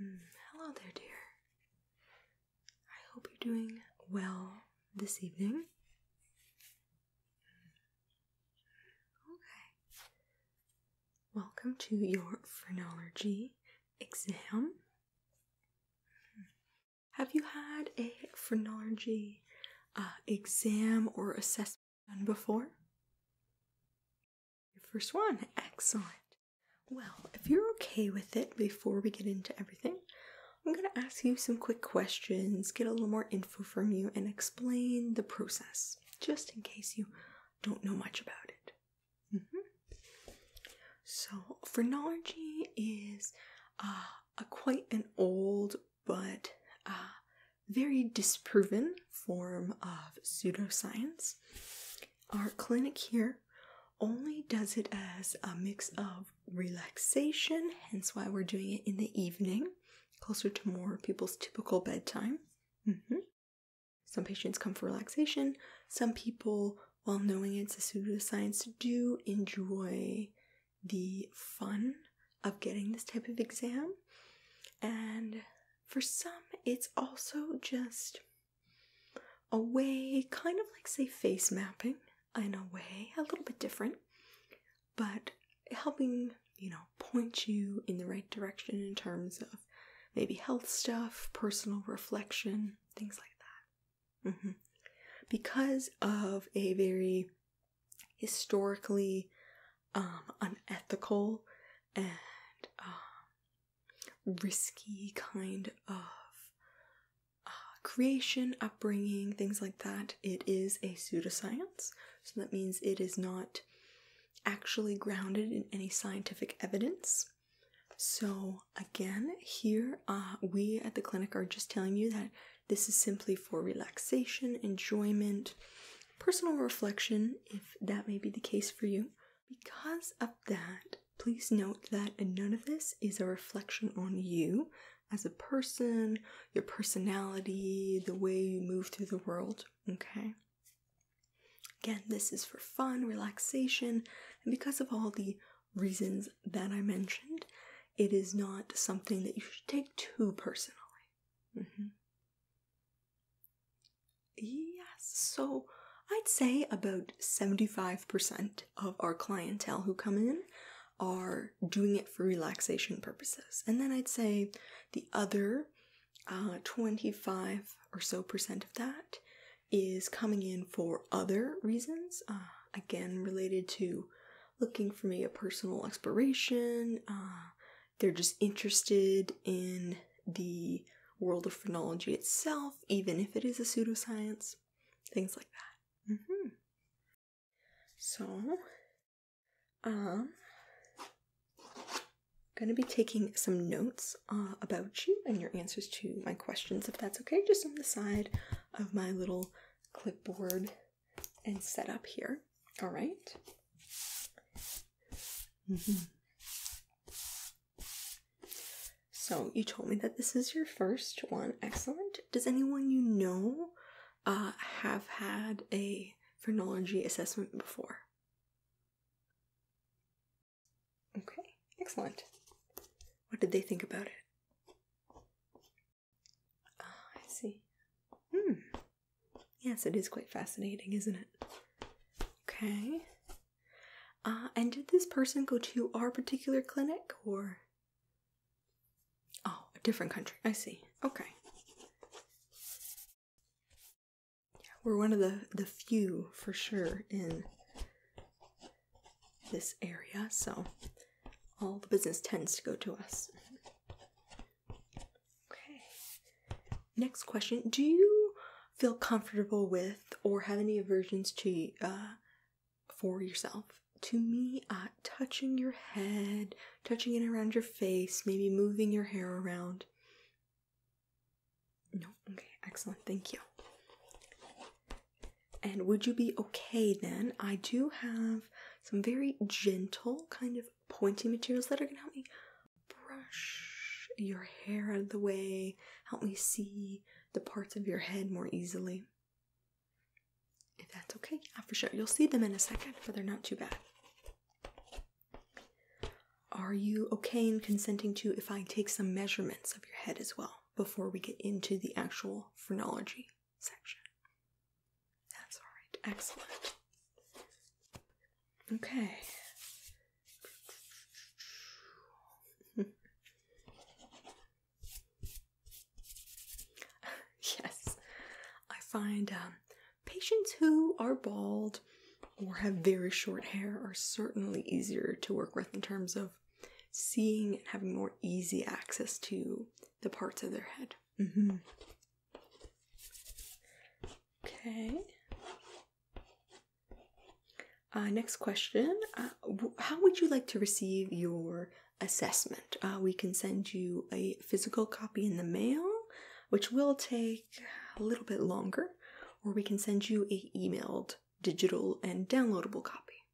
Mm, hello there, dear. I hope you're doing well this evening. Mm, okay. Welcome to your phrenology exam. Mm. Have you had a phrenology uh, exam or assessment? done before? Your first one. Excellent. Well, if you're okay with it, before we get into everything, I'm going to ask you some quick questions, get a little more info from you, and explain the process, just in case you don't know much about it. Mm-hmm. So, phrenology is uh, a quite an old but a uh, very disproven form of pseudoscience. Our clinic here only does it as a mix of relaxation, hence why we're doing it in the evening, closer to more people's typical bedtime. Mm-hmm. Some patients come for relaxation. Some people, while knowing it's a pseudoscience, do enjoy the fun of getting this type of exam. And for some, it's also just a way, kind of like, say, face mapping in a way, a little bit different, but helping, you know, point you in the right direction in terms of maybe health stuff, personal reflection, things like that. Mm-hmm. Because of a very historically um, unethical and um, risky kind of uh, creation, upbringing, things like that. It is a pseudoscience, so that means it is not actually grounded in any scientific evidence. So, again, here uh, we at the clinic are just telling you that this is simply for relaxation, enjoyment, personal reflection, if that may be the case for you. Because of that, please note that none of this is a reflection on you as a person, your personality, the way you move through the world, okay? Again, this is for fun, relaxation, and because of all the reasons that I mentioned, it is not something that you should take too personally. Mm-hmm. Yes, so I'd say about 75% of our clientele who come in are doing it for relaxation purposes. And then I'd say the other uh, 25 or so percent of that is coming in for other reasons, uh, again, related to looking for maybe a personal exploration, uh, they're just interested in the world of phrenology itself, even if it is a pseudoscience, things like that. Mm-hmm. So, I'm um, gonna be taking some notes uh, about you and your answers to my questions, if that's okay, just on the side of my little clipboard and set up here. All right. Mm-hmm. So you told me that this is your first one. Excellent. Does anyone you know uh, have had a phrenology assessment before? Okay, excellent. What did they think about it? Oh, I see. Hmm. Yes, it is quite fascinating, isn't it? Okay. Uh, and did this person go to our particular clinic or? Oh, a different country. I see. Okay. we're one of the, the few for sure in this area, so all the business tends to go to us. Okay. Next question. Do you feel comfortable with or have any aversions to uh, for yourself? To me, uh, touching your head, touching it around your face, maybe moving your hair around. No, okay, excellent, thank you. And would you be okay then? I do have some very gentle, kind of pointy materials that are going to help me brush your hair out of the way, help me see the parts of your head more easily. If that's okay, yeah, for sure. You'll see them in a second, but they're not too bad. Are you okay in consenting to if I take some measurements of your head as well before we get into the actual phrenology? section. That's alright, excellent. Okay. yes, I find um, patients who are bald or have very short hair are certainly easier to work with in terms of seeing and having more easy access to the parts of their head. Mm-hmm. Okay. Uh, next question. Uh, how would you like to receive your assessment? Uh, we can send you a physical copy in the mail, which will take a little bit longer, or we can send you a emailed digital and downloadable copy.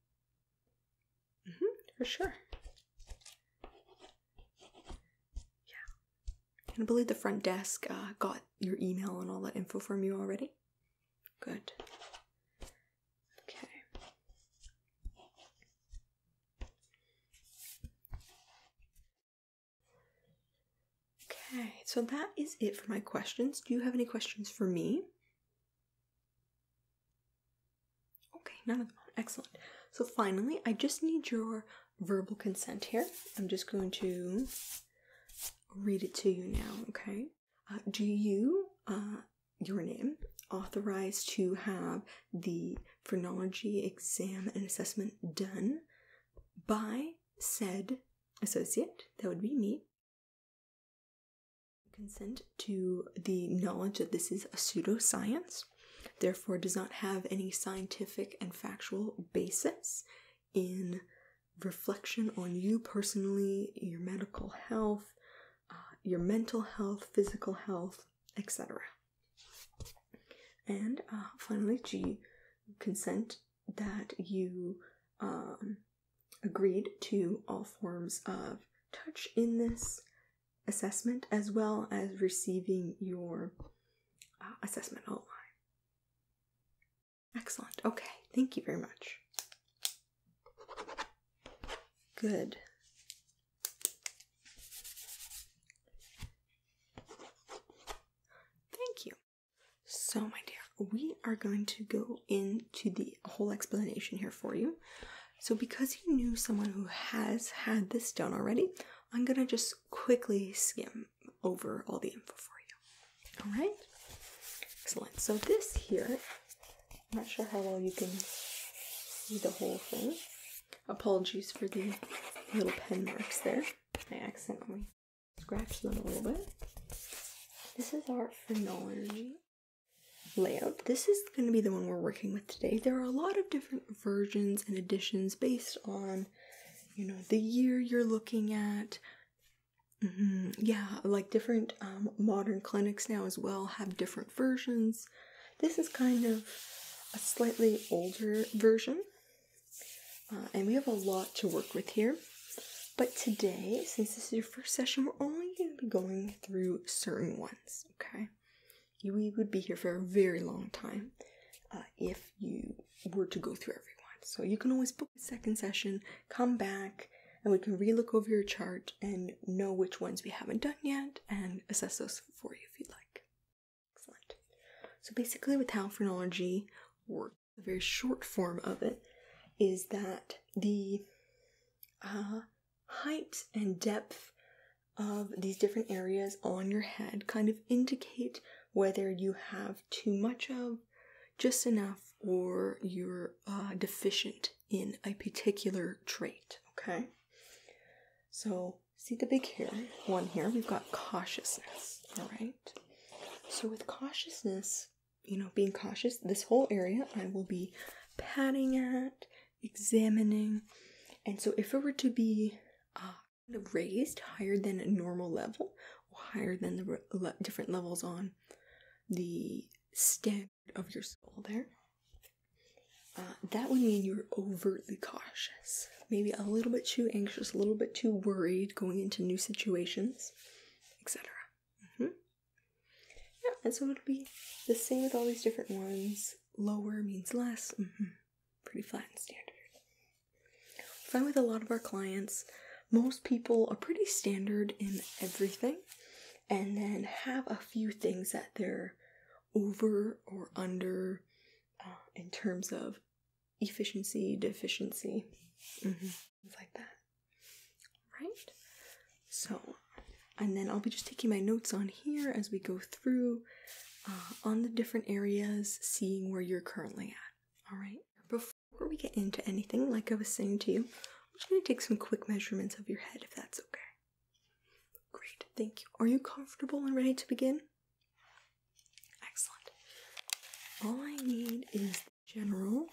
Mm-hmm, for sure. Yeah. Can I believe the front desk uh, got your email and all that info from you already? Good. Okay. Okay, so that is it for my questions. Do you have any questions for me? Okay, now that's on. Excellent. So finally, I just need your verbal consent here. I'm just going to read it to you now, okay? Uh, do you, uh, your name, authorize to have the phrenology exam and assessment done by said associate? That would be me. Consent to the knowledge that this is a pseudoscience? therefore, does not have any scientific and factual basis in reflection on you personally, your medical health, uh, your mental health, physical health, etc. And uh, finally, G, consent that you um, agreed to all forms of touch in this assessment as well as receiving your uh, assessment outline. Excellent. Okay, thank you very much. Good. Thank you. So, my dear, we are going to go into the whole explanation here for you. So, because you knew someone who has had this done already, I'm gonna just quickly skim over all the info for you. All right, excellent. So, this here, I'm not sure how well you can see the whole thing. Apologies for the little pen marks there. I accidentally scratched them a little bit. This is our phrenology layout. This is going to be the one we're working with today. There are a lot of different versions and editions based on, you know, the year you're looking at. Mm-hmm. Yeah, like different um, modern clinics now as well have different versions. This is kind of a slightly older version, uh, and we have a lot to work with here. But today, since this is your first session, we're only going to be going through certain ones, okay? you, we would be here for a very long time uh, if you were to go through everyone. So you can always book a second session, come back, and we can relook over your chart and know which ones we haven't done yet and assess those for you if you'd like. Excellent. So basically with how phrenology works, a very short form of it is that the uh, height and depth of these different areas on your head kind of indicate whether you have too much of, just enough, or you're uh, deficient in a particular trait. Okay? So, see the big hair one here, we've got cautiousness. All right? So, with cautiousness, you know, being cautious, this whole area I will be patting at examining. And so, if it were to be uh, raised higher than a normal level, or higher than the different levels on the standard of your soul, there, uh, that would mean you're overtly cautious. Maybe a little bit too anxious, a little bit too worried going into new situations, etc. Yeah, and so it'll be the same with all these different ones. Lower means less. Mm-hmm. Pretty flat and standard. Fine with a lot of our clients, most people are pretty standard in everything and then have a few things that they're over or under uh, in terms of efficiency, deficiency, mm like that. Right? So, and then I'll be just taking my notes on here as we go through uh, on the different areas, seeing where you're currently at. All right. Before we get into anything, like I was saying to you, I'm just going to take some quick measurements of your head if that's okay. Great, thank you. Are you comfortable and ready to begin? Excellent. All I need is the general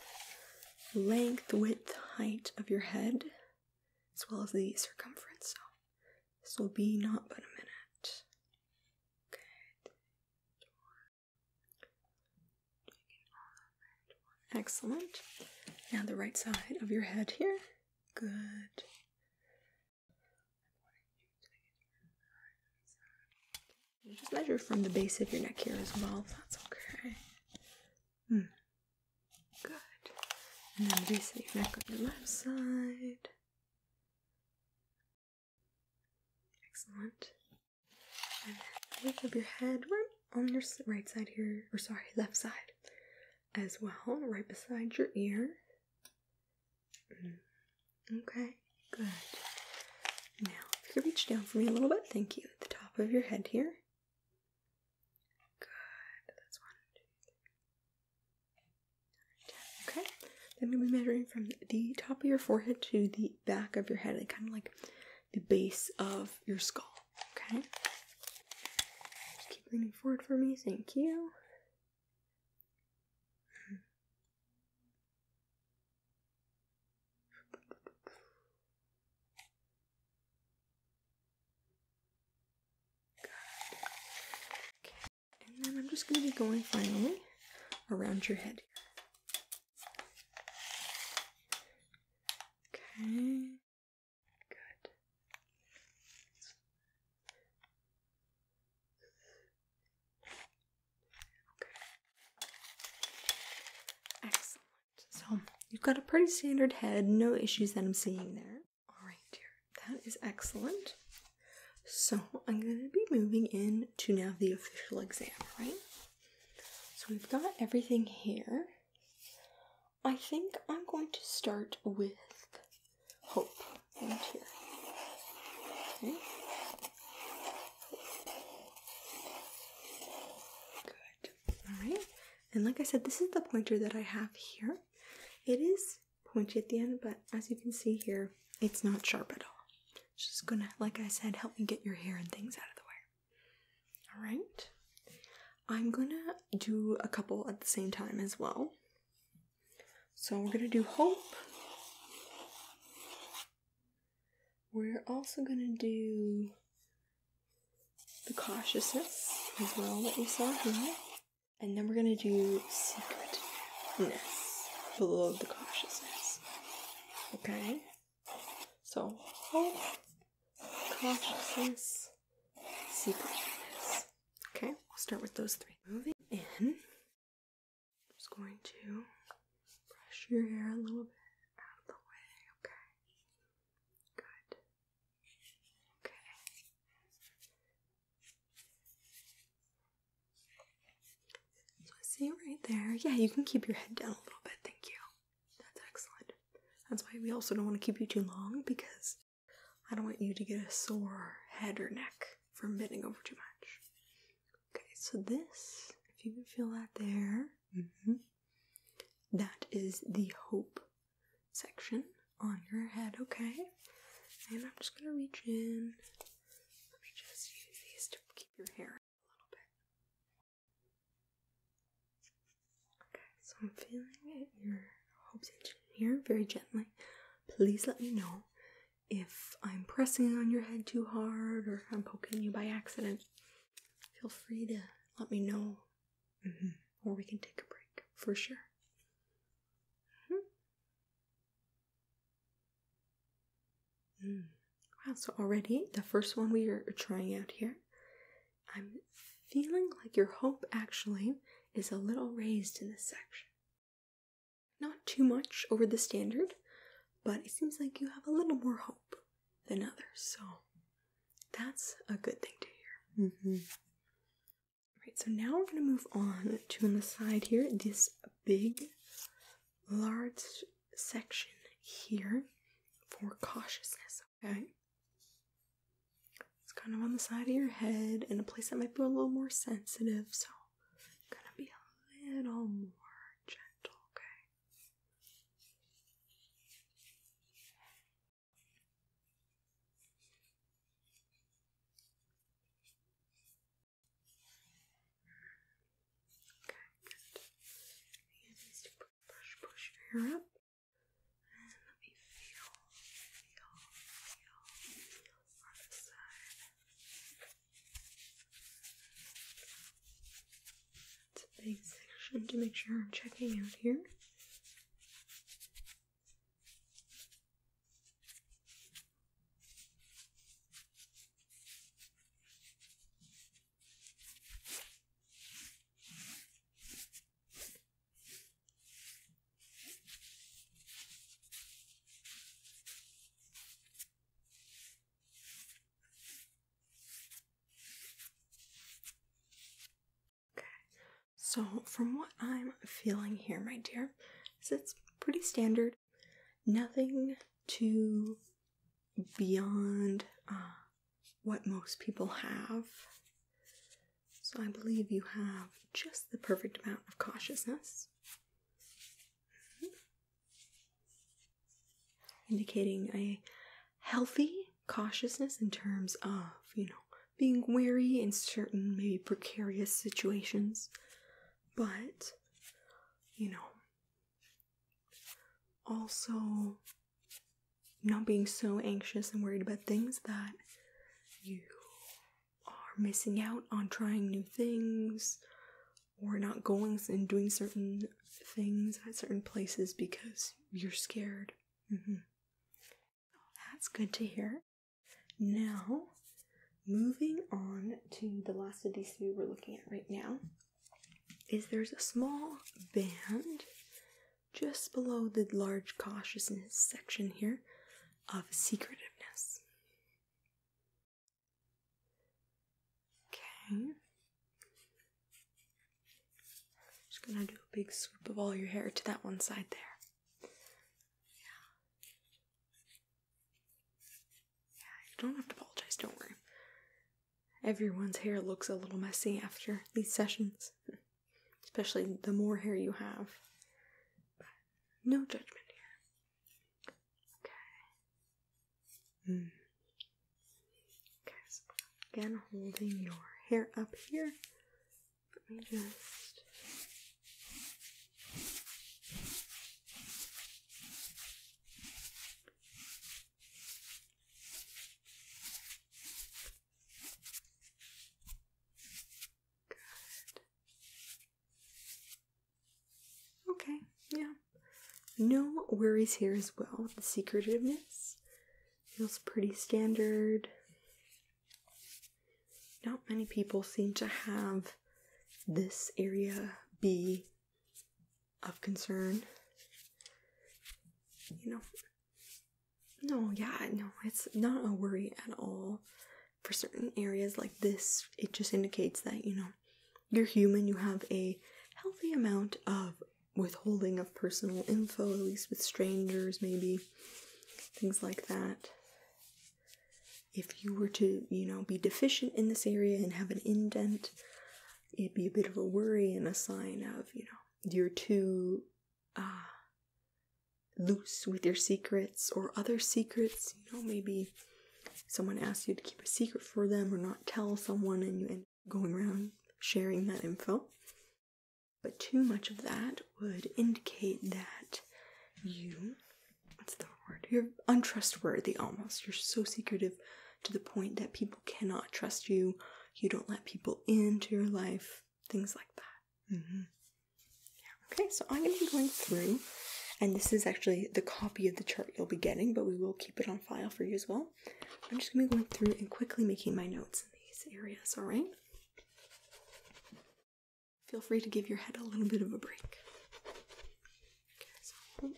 length, width, height of your head as well as the circumference. So this will be not but a minute. Good. Excellent. Now the right side of your head here. Good. You just measure from the base of your neck here as well, if that's okay. Hmm. Good. And then reset your neck on your left side. Excellent. And then lift up your head right on your right side here, or sorry, left side as well, right beside your ear. Hmm. Okay, good. Now, if you reach down for me a little bit, thank you, at the top of your head here. Good. That's one. Okay. Then we'll be measuring from the top of your forehead to the back of your head, like kind of like the base of your skull. Okay. keep leaning forward for me. Thank you. Okay. And then I'm just going to be going finally around your head. Okay. Good. Excellent. So you've got a pretty standard head, no issues that I'm seeing there. All right, dear, that is excellent. So I'm going to be moving in to now the official exam, right? So we've got everything here. I think I'm going to start with hope and here. Okay. Good. All right. And like I said, this is the pointer that I have here. It is pointy at the end, but as you can see here, it's not sharp at all. It's just gonna, like I said, help me get your hair and things out of the way. Alright. I'm gonna do a couple at the same time as well. So we're gonna do hope. We're also gonna do the cautiousness as well that we saw here. And then we're gonna do secretness below the cautiousness. Okay? So hope, cautiousness, secretness. Okay, we'll start with those three. Moving in, I'm just going to brush your hair a little bit out of the way. Okay. Good. Okay. So I see right there. Yeah, you can keep your head down a little bit. Thank you. That's excellent. That's why we also don't want to keep you too long because I don't want you to get a sore head or neck from bending over too much. Okay, so this, if you can feel that there, mm-hmm. That is the hope section on your head, okay? And I'm just gonna reach in. Let me just use these to keep your hair a little bit. Okay, so I'm feeling your hope section here very gently. Please let me know if I'm pressing on your head too hard or I'm poking you by accident. Feel free to let me know Mm-hmm. Or we can take a break for sure. Mm-hmm. Wow, so already the first one we are trying out here, I'm feeling like your hope actually is a little raised in this section. Not too much over the standard, but it seems like you have a little more hope than others, so that's a good thing to hear. mm mm-hmm. Right, so now we're going to move on to on the side here, this big, large section here for cautiousness, okay? It's kind of on the side of your head in a place that might be a little more sensitive, so I'm gonna be a little more gentle, okay? Okay, good. just push, push, push your hair up. And let me feel, feel, feel on the side. That's a big section to make sure I'm checking out here. Okay, so from what I'm feeling here, my dear, is it's pretty standard. Nothing too beyond uh, what most people have. So I believe you have just the perfect amount of cautiousness. Hmm. Indicating I healthy cautiousness in terms of, you know, being wary in certain maybe precarious situations, but, you know, also not being so anxious and worried about things that you are missing out on trying new things or not going and doing certain things at certain places because you're scared. Mm-hmm. That's good to hear. Now, moving on to the last of these three we're looking at right now, is there's a small band just below the large cautiousness section here of secretiveness. Okay. Just gonna do a big sweep of all your hair to that one side there. Yeah. Yeah, you don't have to apologize, don't worry. Everyone's hair looks a little messy after these sessions, especially the more hair you have. no judgment here. Okay. Okay, hmm. so again holding your hair up here. Let me just Okay, yeah, no worries here as well. The secretiveness feels pretty standard. Not many people seem to have this area be of concern. You know, no, yeah, no, it's not a worry at all. For certain areas like this, it just indicates that, you know, you're human, you have a healthy amount of withholding of personal info, at least with strangers, maybe things like that. If you were to, you know, be deficient in this area and have an indent, it'd be a bit of a worry and a sign of, you know, you're too uh, loose with your secrets or other secrets. You know, maybe someone asks you to keep a secret for them or not tell someone and you end going around sharing that info. But too much of that would indicate that you what's the word? You're untrustworthy almost. You're so secretive to the point that people cannot trust you. You don't let people into your life, things like that. Mm-hmm. Okay, so I'm going to be going through, and this is actually the copy of the chart you'll be getting, but we will keep it on file for you as well. I'm just going to be going through and quickly making my notes in these areas, alright? Feel free to give your head a little bit of a break. Okay,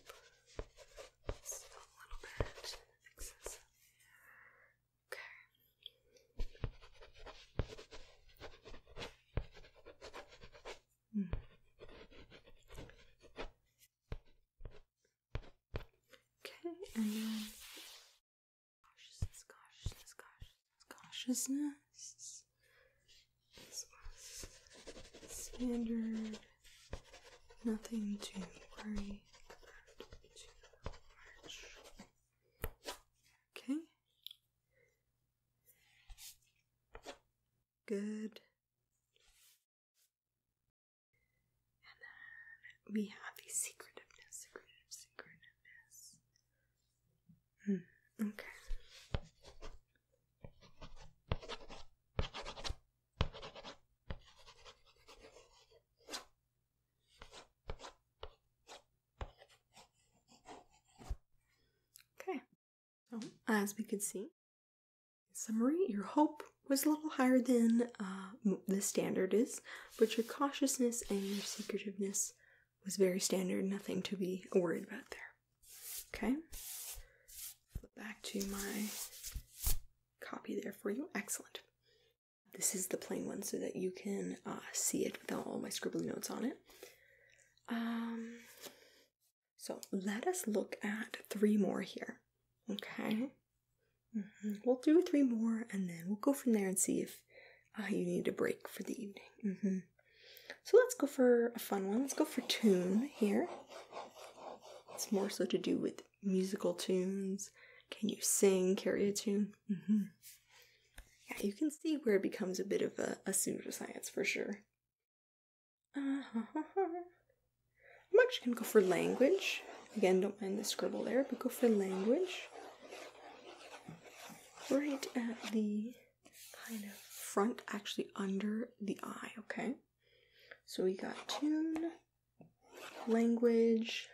hmm. Okay, and then cautiousness, cautiousness, cautiousness, standard. Nothing to worry about Okay. Good. And then we have the secretiveness, secretiveness. Mm, okay. Okay. as we can see, Summary Your hope was a little higher than uh, the standard is, but your cautiousness and your secretiveness was very standard, nothing to be worried about there. Okay? Back to my copy there for you. Excellent. This is the plain one so that you can uh, see it without all my scribbly notes on it. Um, so let us look at three more here. Okay. Mm-hmm. We'll do three more and then we'll go from there and see if uh, you need a break for the evening. Mm-hmm. So let's go for a fun one. Let's go for tune here. It's more so to do with musical tunes. Can you sing, carry a tune? Mm-hmm. Yeah, you can see where it becomes a bit of a, a pseudoscience for sure. I'm actually going to go for language. Again, don't mind the scribble there, but go for language. Right at the kind of front, actually under the eye, okay? So we got tune, language.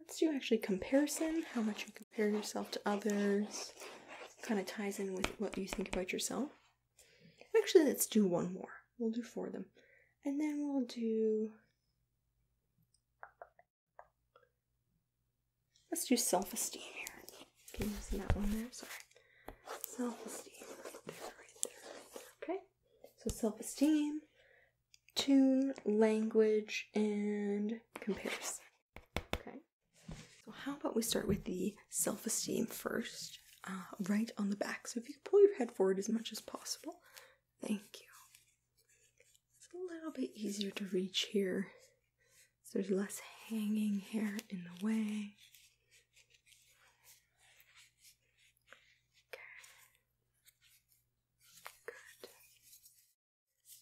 Let's do actually comparison, how much you compare yourself to others. Kind of ties in with what you think about yourself. Actually, let's do one more. We'll do four of them. And then we'll do. Let's do self esteem here. Can you that one there? Sorry. Self esteem. Okay. So self esteem, tune, language, and comparison. Okay. So, how about we start with the self esteem first, uh, right on the back. So, if you pull your head forward as much as possible, thank you. It's a little bit easier to reach here, so there's less hanging hair in the way. Okay. Good.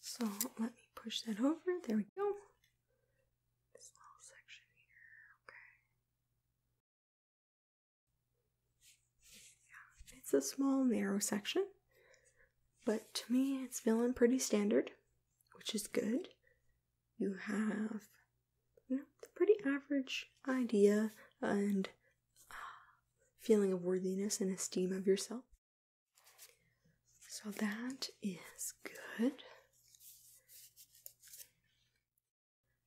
So, let me push that over. There we go this little section here, okay. Yeah, it's a small, narrow section, but to me, it's feeling pretty standard, which is good. You have, you know, the pretty average idea and uh, feeling of worthiness and esteem of yourself. So that is good.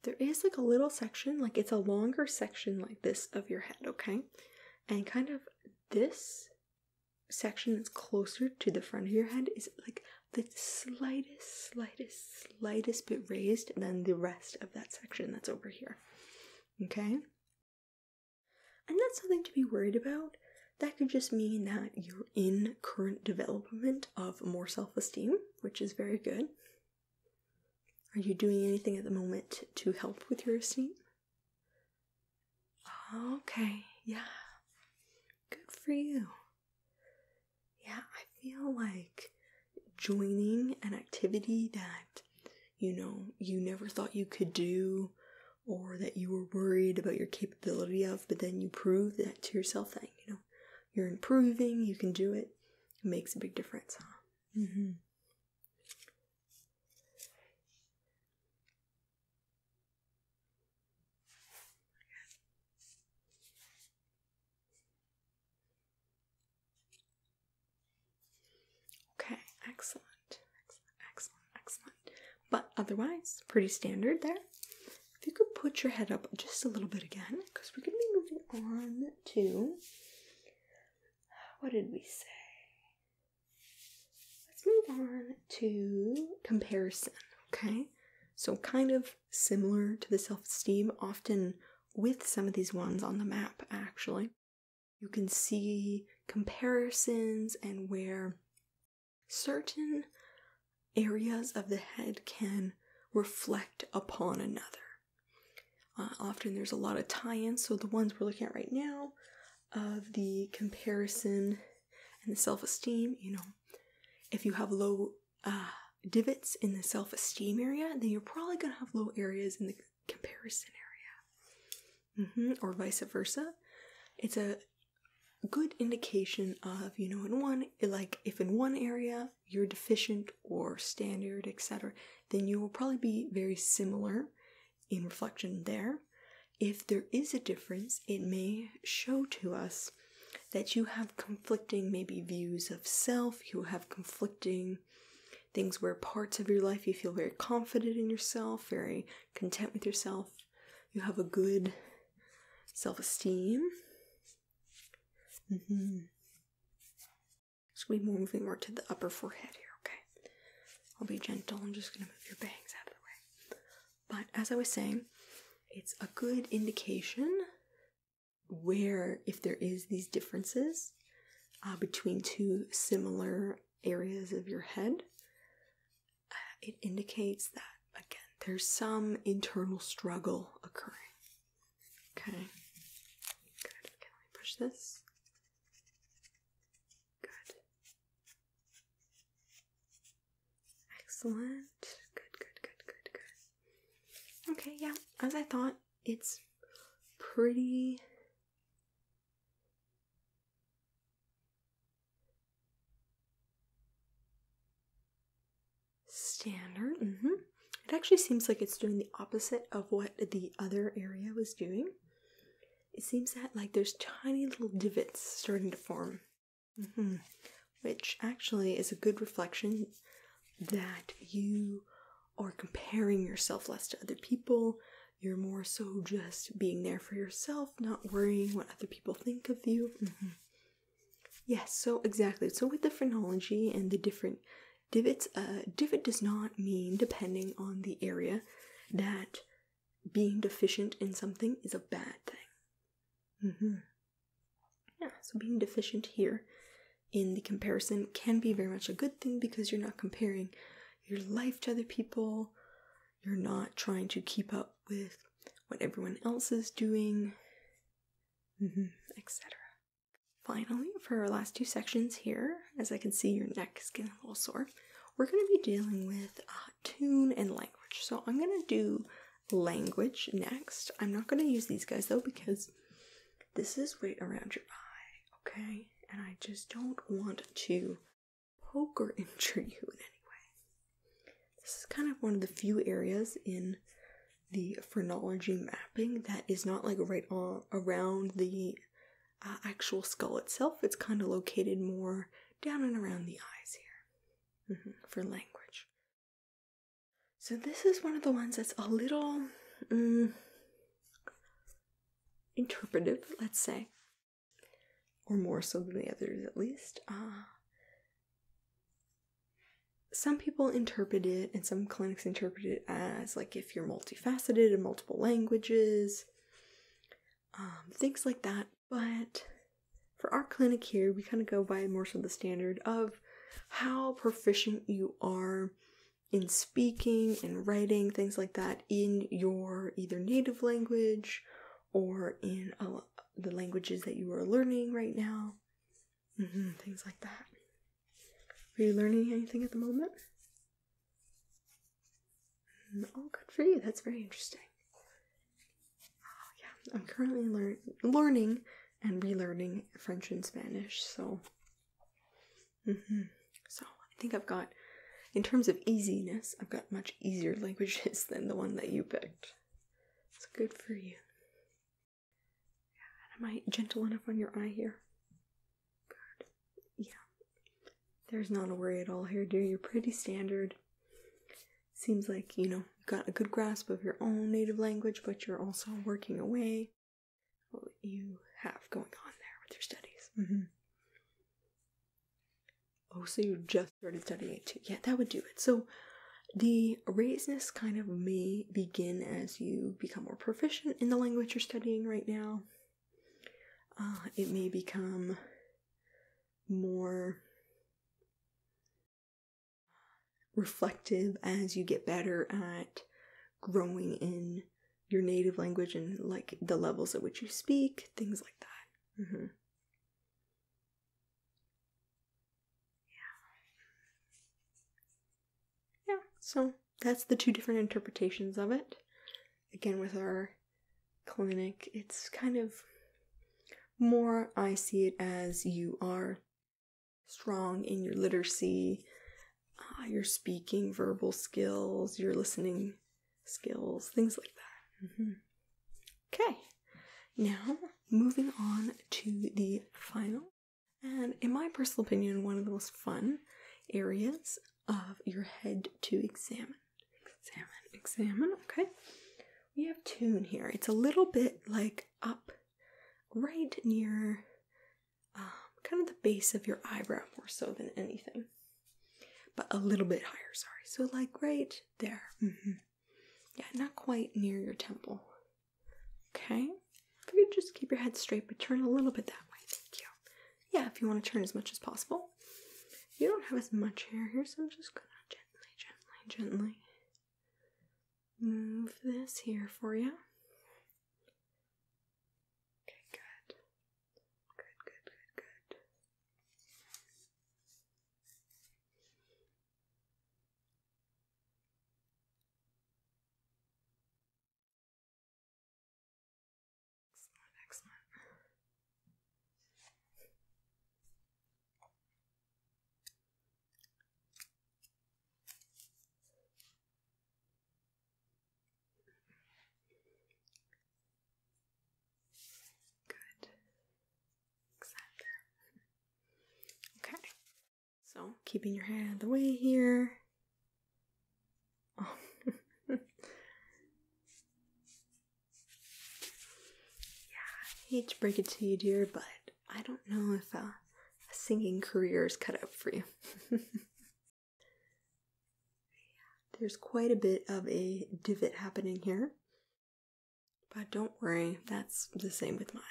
There is like a little section, like it's a longer section like this of your head, okay? And kind of this section that's closer to the front of your head is like the slightest, slightest, slightest bit raised than the rest of that section that's over here. Okay? And that's something to be worried about that could just mean that you're in current development of more self esteem, which is very good. Are you doing anything at the moment to help with your esteem? Okay, yeah. Good for you. Yeah, I feel like joining an activity that you know you never thought you could do or that you were worried about your capabilities capability of, but then you prove that to yourself that you know you're improving, you can do it. It makes a big difference, huh? Mm-hmm. Okay, excellent, excellent, excellent. But otherwise, pretty standard there. If you could put your head up just a little bit again, because we're going to be moving on to what did we say? Let's move on to comparison, okay? So, kind of similar to the self esteem, often with some of these ones on the map, actually, you can see comparisons and where certain areas of the head can reflect upon another. Uh, often there's a lot of tie ins, so the ones we're looking at right now of the comparison and the self esteem, you know, if you have low uh, divots in the self esteem area, then you're probably going to have low areas in the comparison area, mm-hmm, or vice versa. It's a good indication of you know in one like if in one area you're deficient or standard etc then you will probably be very similar in reflection there if there is a difference it may show to us that you have conflicting maybe views of self you have conflicting things where parts of your life you feel very confident in yourself very content with yourself you have a good self esteem. Mm -hmm. So we're moving more to the upper forehead here, okay? I'll be gentle. I'm just going to move your bangs out of the way. But as I was saying, it's a good indication where, if there is these differences uh, between two similar areas of your head, it indicates that again there's some internal struggle occurring. Okay. Good. let me push this. Good. Excellent. Good, good, good, good, good. Okay, yeah, as I thought, it's pretty Standard. Mm-hmm. It actually seems like it's doing the opposite of what the other area was doing. It seems that like there's tiny little divots starting to form, mm-hmm, which actually is a good reflection that you are comparing yourself less to other people. You're more so just being there for yourself, not worrying what other people people think of you. Mm-hmm. Yes, so exactly. So with the phrenology and the different divots, uh, divot does not mean, depending on the area, that being deficient in something is a bad thing. Mm -hmm. Yeah, so being deficient here in the comparison can be very much a good thing because you're not comparing your life to other people. You're not trying to keep up with what everyone else is doing, mm-hmm, etc. Finally, for our last two sections here, as I can see your neck is sore, we're going to be dealing with uh, tune and language. So I'm going to do language next. I'm not going to use these guys though because this is right around your eye, okay? And I just don't want to poke or injure you in any way. This is kind of one of the few areas in the phrenology mapping that is not like right on around the uh, actual skull itself. It's kind of located more down and around the eyes here mm-hmm, for language. So this is one of the ones that's a little um, interpretive, let's say or more so than the others at least. Uh, some people interpret it and some clinics interpret it as like if you're multifaceted in multiple languages, um, things like that. But for our clinic here, we kind of go by more so the standard of how proficient you are in speaking and writing, things like that, in your either native language or in uh, the languages that you are learning right now, mm-hmm, things like that. Are you learning anything at the moment? Oh, good for you. That's very interesting. Oh, yeah, I'm currently lear- learning and relearning French and Spanish, so. Mm-hmm. So I think I've got in terms of easiness, I've got much easier languages than the one that you picked. It's good for you. Am I gentle enough on your eye here? Good. Yeah. There's not a worry at all here, dear. You're pretty standard. Seems like, you know, you've got a good grasp of your own native language, but you're also working away what you have going on there with your studies. Mm-hmm. Oh, so you just started studying too. Yeah, that would do it. So the raisedness kind of may begin as you become more proficient in the language you're studying right now. Uh, it may become more reflective as you get better at growing in your native language and like the levels at which you speak, things like that. Mm-hmm. Yeah. Yeah, so that's the two different interpretations of it. Again, with our clinic, it's kind of more, I see it as you are strong in your literacy, uh, your speaking, verbal skills, your listening skills, things like that. Mm-hmm. Okay, now moving on to the final, and in my personal opinion, one of the most fun areas of your head to examine. Examine, examine, okay. We have tune here. It's a little bit like up right near um, kind of the base of your eyebrow more so than anything but a little bit higher, sorry. So, like right there. Mm-hmm. Yeah, not quite near your temple. Okay? If you could just keep your head straight, but turn a little bit that way. Thank you. Yeah, if you want to turn as much as possible. You don't have as much hair here, so I'm just gonna gently, gently, gently move this here for you. Okay, good. Good, good, good, good. Excellent, excellent. Good. Okay. So, keeping your head out of the way here. Oh. yeah, I hate to break it to you, dear, but I don't know if uh, a singing career is cut out for you. There's quite a bit of a divot happening here. But don't worry, that's the same with my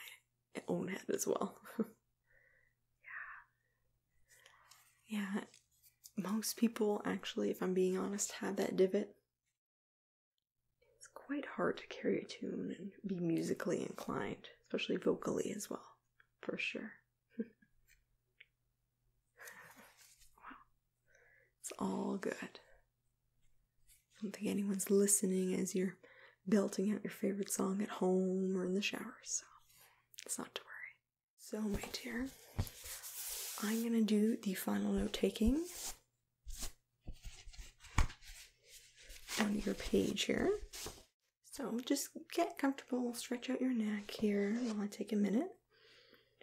own head as well. yeah. Most people, actually, if I'm being honest, have that divot. It's quite hard to carry a tune and be musically inclined, especially vocally as well, for sure. wow. It's all good. I don't think anyone's listening as you're belting out your favorite song at home or in the shower, so it's not to worry. So, my dear, I'm gonna do the final note taking on your page here. So, just get comfortable, stretch out your neck here while I take a minute.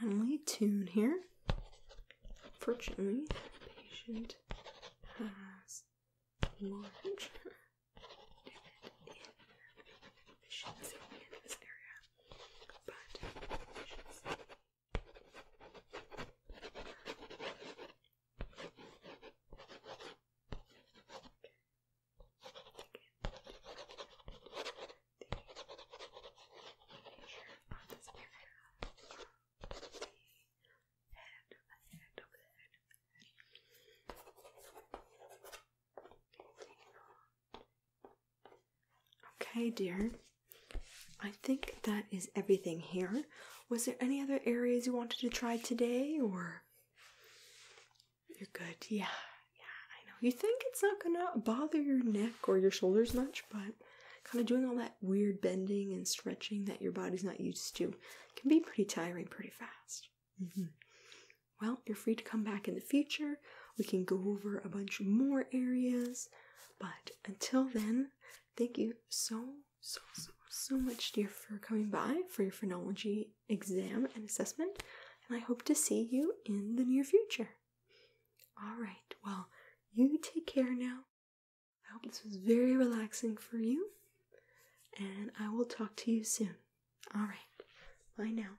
Finally, tuned here. Fortunately, patient has large deficits in this area but I should say on this area of the head, of the head, of the head, of the head. Taking off Okay, dear. I think that is everything here. Was there any other areas you wanted to try today, or you're good? Yeah, yeah, I know. You think it's not gonna bother your neck or your shoulders much, but kind of doing all that weird bending and stretching that your body's not used to can be pretty tiring pretty fast. Mm-hmm well, you're free to come back in the future. We can go over a bunch more areas. But until then, thank you so, so, so, so much, dear, for coming by for your phonology exam and assessment. And I hope to see you in the near future. All right, well, you take care now. I hope this was very relaxing for you. And I will talk to you soon. All right, bye now.